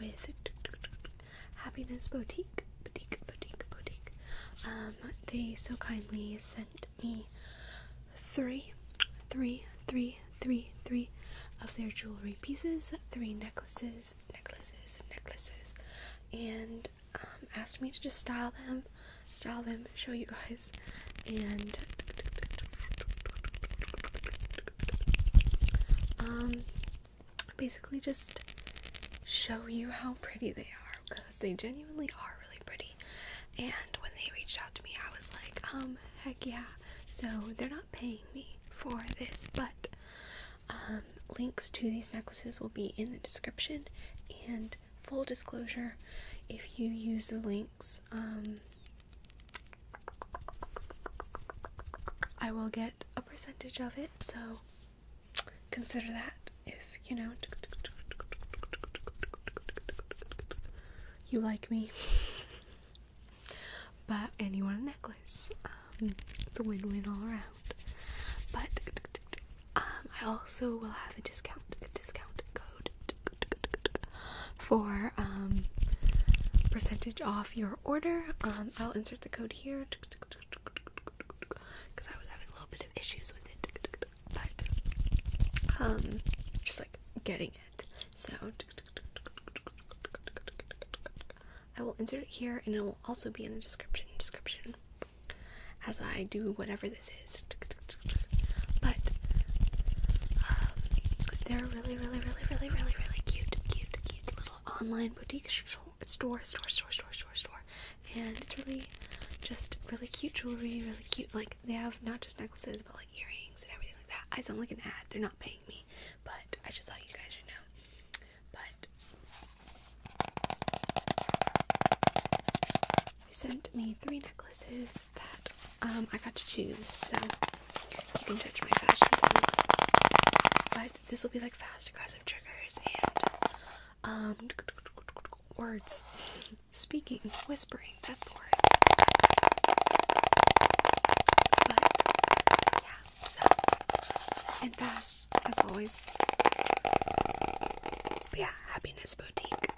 with Happiness Boutique, Boutique, Boutique, Boutique. Um, they so kindly sent me three, three, three, three, three of their jewelry pieces, three necklaces, necklaces, necklaces, and um, asked me to just style them, style them, show you guys, and um basically just show you how pretty they are because they genuinely are really pretty and when they reached out to me I was like um heck yeah so they're not paying me for this but um, links to these necklaces will be in the description and full disclosure if you use the links um I will get a percentage of it, so consider that if you know you like me. but and you want a necklace. Um, it's a win-win all around. But um, I also will have a discount a discount code for um, percentage off your order. Um, I'll insert the code here because I was having a little bit of issues with it, but um, just like getting it. So I will insert it here, and it will also be in the description. Description as I do whatever this is. But uh, they're really, really, really, really, really, really cute, cute, cute little online boutique store, store, store, store, store, store. And it's really just really cute jewelry, really cute. Like, they have not just necklaces, but like earrings and everything like that. I sound like an ad. They're not paying me, but I just thought you guys should know. But they sent me three necklaces that um, I got to choose, so you can judge my fashion sense. But this will be like fast, aggressive triggers and um, words, speaking, whispering. That's the word. But yeah, so and fast as always. But yeah, happiness boutique.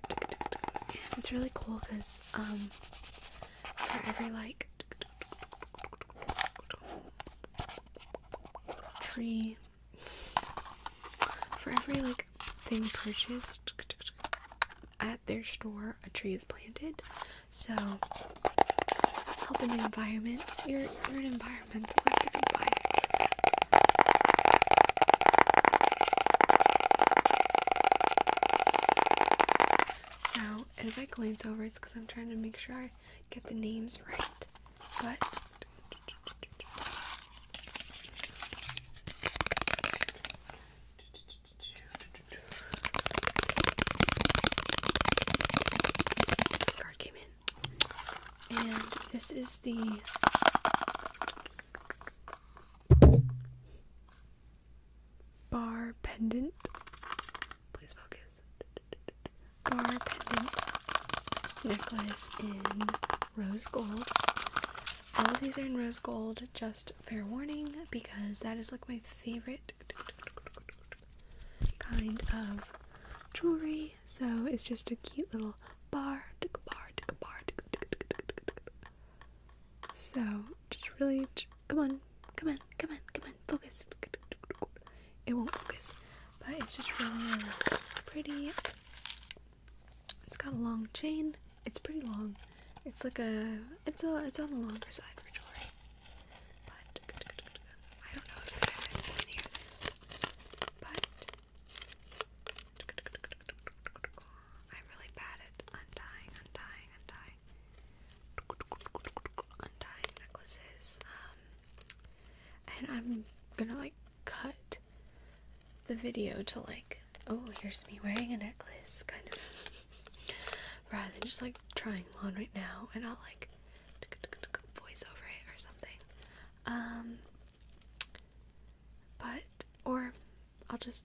It's really cool because um, for every like tree. For every like thing purchased at their store, a tree is planted. So helping the environment. You're you're an environmentalist if you buy it. And if I glance over, it's because I'm trying to make sure I get the names right. But card came in, and this is the bar pendant. Please focus. Bar pendant necklace in rose gold. All of these are in rose gold, just fair warning, because that is like my favorite kind of jewelry. So it's just a cute little bar, bar, bar, so just really, just, come on, come on, come on, come on, focus. It won't focus, but it's just really uh, pretty. It's got a long chain. It's pretty long. It's like a, it's a, it's on the longer side for jewelry. But I don't know if I can hear this, but. I'm really bad at untying, untying, untying untie necklaces. Um and I'm gonna like cut the video to like oh here's me wearing a necklace kind of rather than just like trying them on right now and I'll like voice over it or something. Um but or I'll just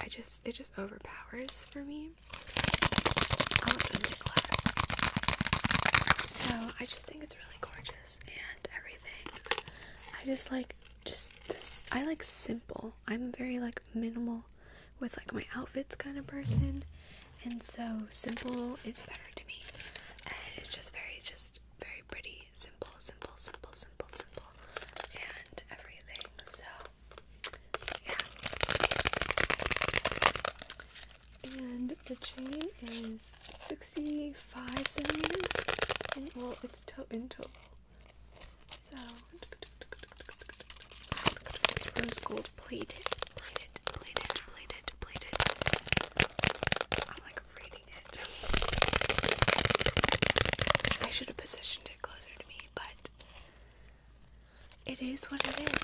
I just it just overpowers for me. so I just think it's really gorgeous and everything. I just like just this. I like simple. I'm very like minimal with like my outfits kind of person, and so simple is better to me. And it's just very just very pretty, simple, simple, simple, simple, simple, and everything. So and the chain is 65 centimeters. well, it's total in total. So, rose gold plated, plated, plated, plated, plated. I'm like reading it. I should have positioned it closer to me, but it is what it is.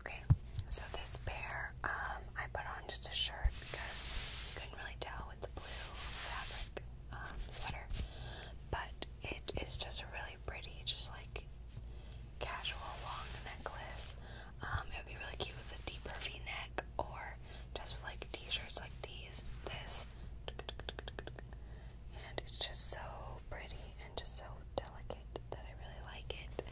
Okay, so this pair, um, I put on just a shirt because you couldn't really tell with the blue fabric um, sweater, but it is just a really pretty, just like casual long necklace. Um, it would be really cute with a deeper V-neck or just like T-shirts like these. This, and it's just so pretty and just so delicate that I really like it.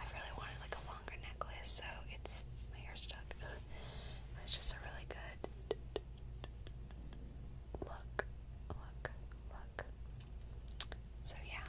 I really wanted like a longer necklace, so it's my hair stuck. it's just a really good look, look, look. So yeah.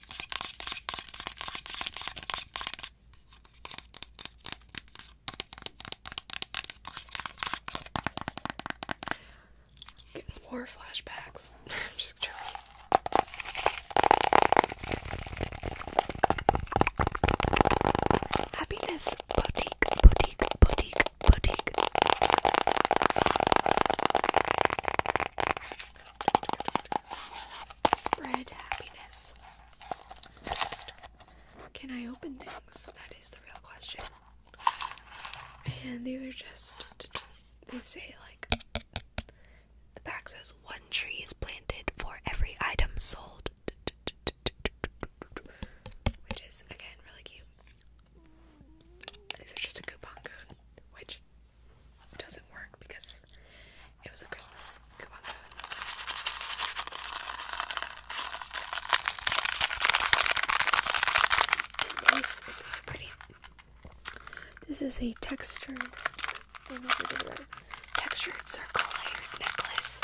Getting war flashbacks. I'm just joking. Happiness boutique, boutique, boutique, boutique. Spread happiness. Can I open things? That is the real question. And these are just, they say like, the back says one tree is planted for every item sold. Which is, again, really cute. These are just a coupon code, which doesn't work because it was a Christmas coupon this is really pretty. This is a textured, textured circle necklace.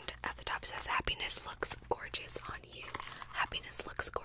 And at the top it says, Happiness looks gorgeous on you. Happiness looks gorgeous.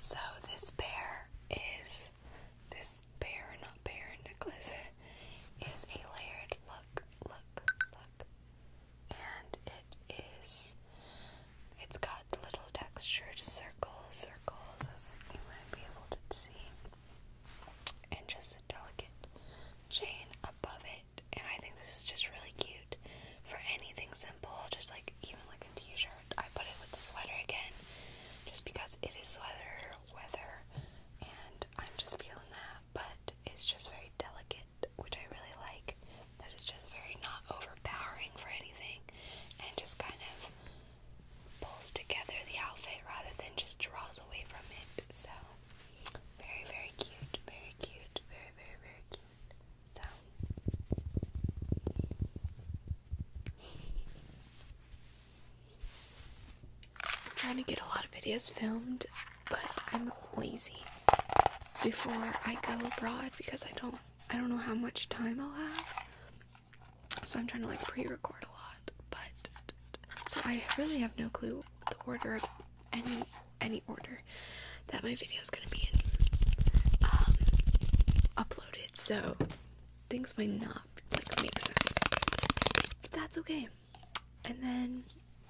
So this bear is this bear, not bear necklace, is a layered look, look, look, and it is it's got little textured circles, circles as you might be able to see, and just a delicate chain above it. And I think this is just really cute for anything simple, just like even like a t-shirt. I put it with the sweater again, just because it is sweater weather, and I'm just feeling that. But it's just very delicate which I really like. That is just very not overpowering for anything and just kind of pulls together the outfit rather than just draws away from it. So, very, very cute. Very cute. Very, very, very cute. So. I'm trying to get a lot of videos filmed, but I'm lazy before I go abroad because I don't I don't know how much time I'll have. So I'm trying to like pre-record a lot, but so I really have no clue the order of any any order that my video is gonna be in um, uploaded. So things might not like make sense. But that's okay. And then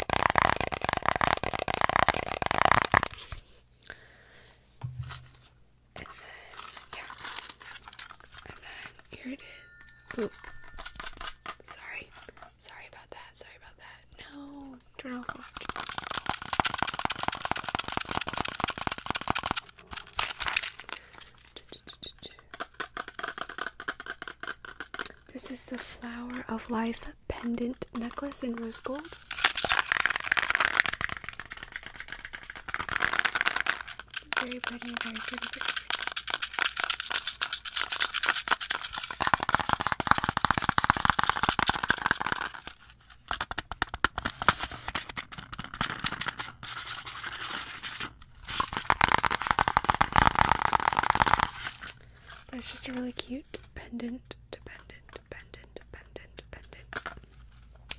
And then, yeah. And then here it is. Oop. Sorry. Sorry about that. Sorry about that. No. Turn off watch. This is the Flower of Life pendant necklace in rose gold. Very pretty, very pretty. But it's just a really cute pendant, pendant, pendant, pendant, pendant.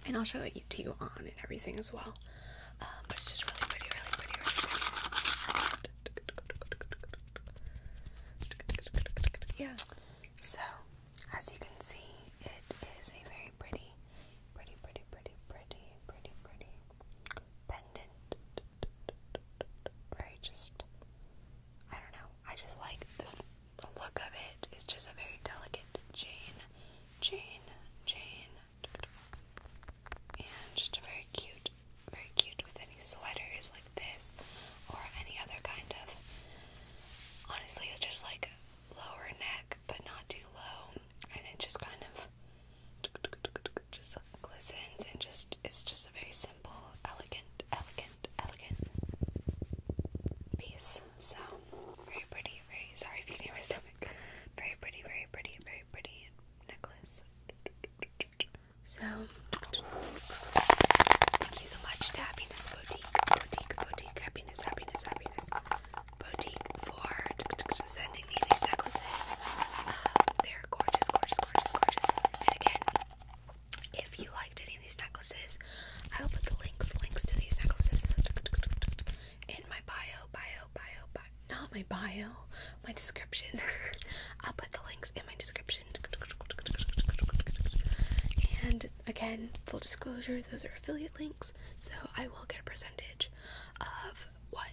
And I'll show it to you on and everything as well. Um, but it's just really pretty, really pretty, really pretty. Yeah. So, as you can see, it is a very pretty, pretty, pretty, pretty, pretty, pretty, pretty pendant very just I don't know. I just like the, the look of it. It's just a very delicate chain, chain, chain, and just a very cute, very cute with any sweaters like this or any other kind of. Honestly, it's just like lower neck, but not too low, and it just kind of just glistens and just it's just a very simple, elegant, elegant, elegant piece. So very pretty, very sorry if you hear my stomach. Very pretty, very pretty, very pretty necklace. So thank you so much to Happiness Boutique, Boutique, Boutique, Happiness, Happiness, Happiness Boutique for sending these necklaces. Um, they're gorgeous, gorgeous, gorgeous, gorgeous. And again, if you liked any of these necklaces, I will put the links, links to these necklaces in my bio, bio, bio. Not my bio, my description. I'll put the links in my description. And again, full disclosure, those are affiliate links, so I will get a percentage of what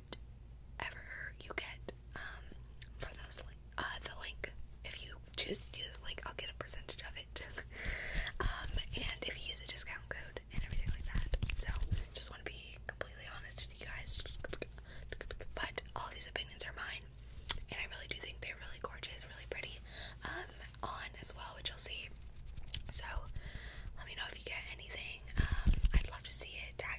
whatever you get um, for those uh, the link. If you choose to use the link, I'll get a percentage of it. um, and if you use a discount code and everything like that. So just want to be completely honest with you guys. But all these opinions are mine, and I really do think they're really gorgeous, really pretty. Um, on as well, which you'll see. So let me know if you get anything. Um, I'd love to see it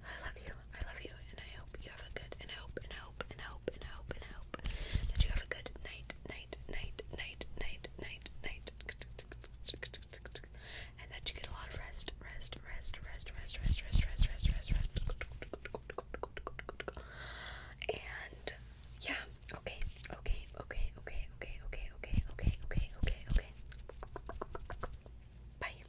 I love you. I love you, and I hope you have a good. And I hope, and I hope, and I hope, and I hope, and I hope that you have a good night, night, night, night, night, night, night, and that you get a lot of rest, rest, rest, rest, rest, rest, rest, rest, rest, rest, rest. And yeah, okay, okay, okay, okay, okay, okay, okay, okay, okay, okay, okay. Bye.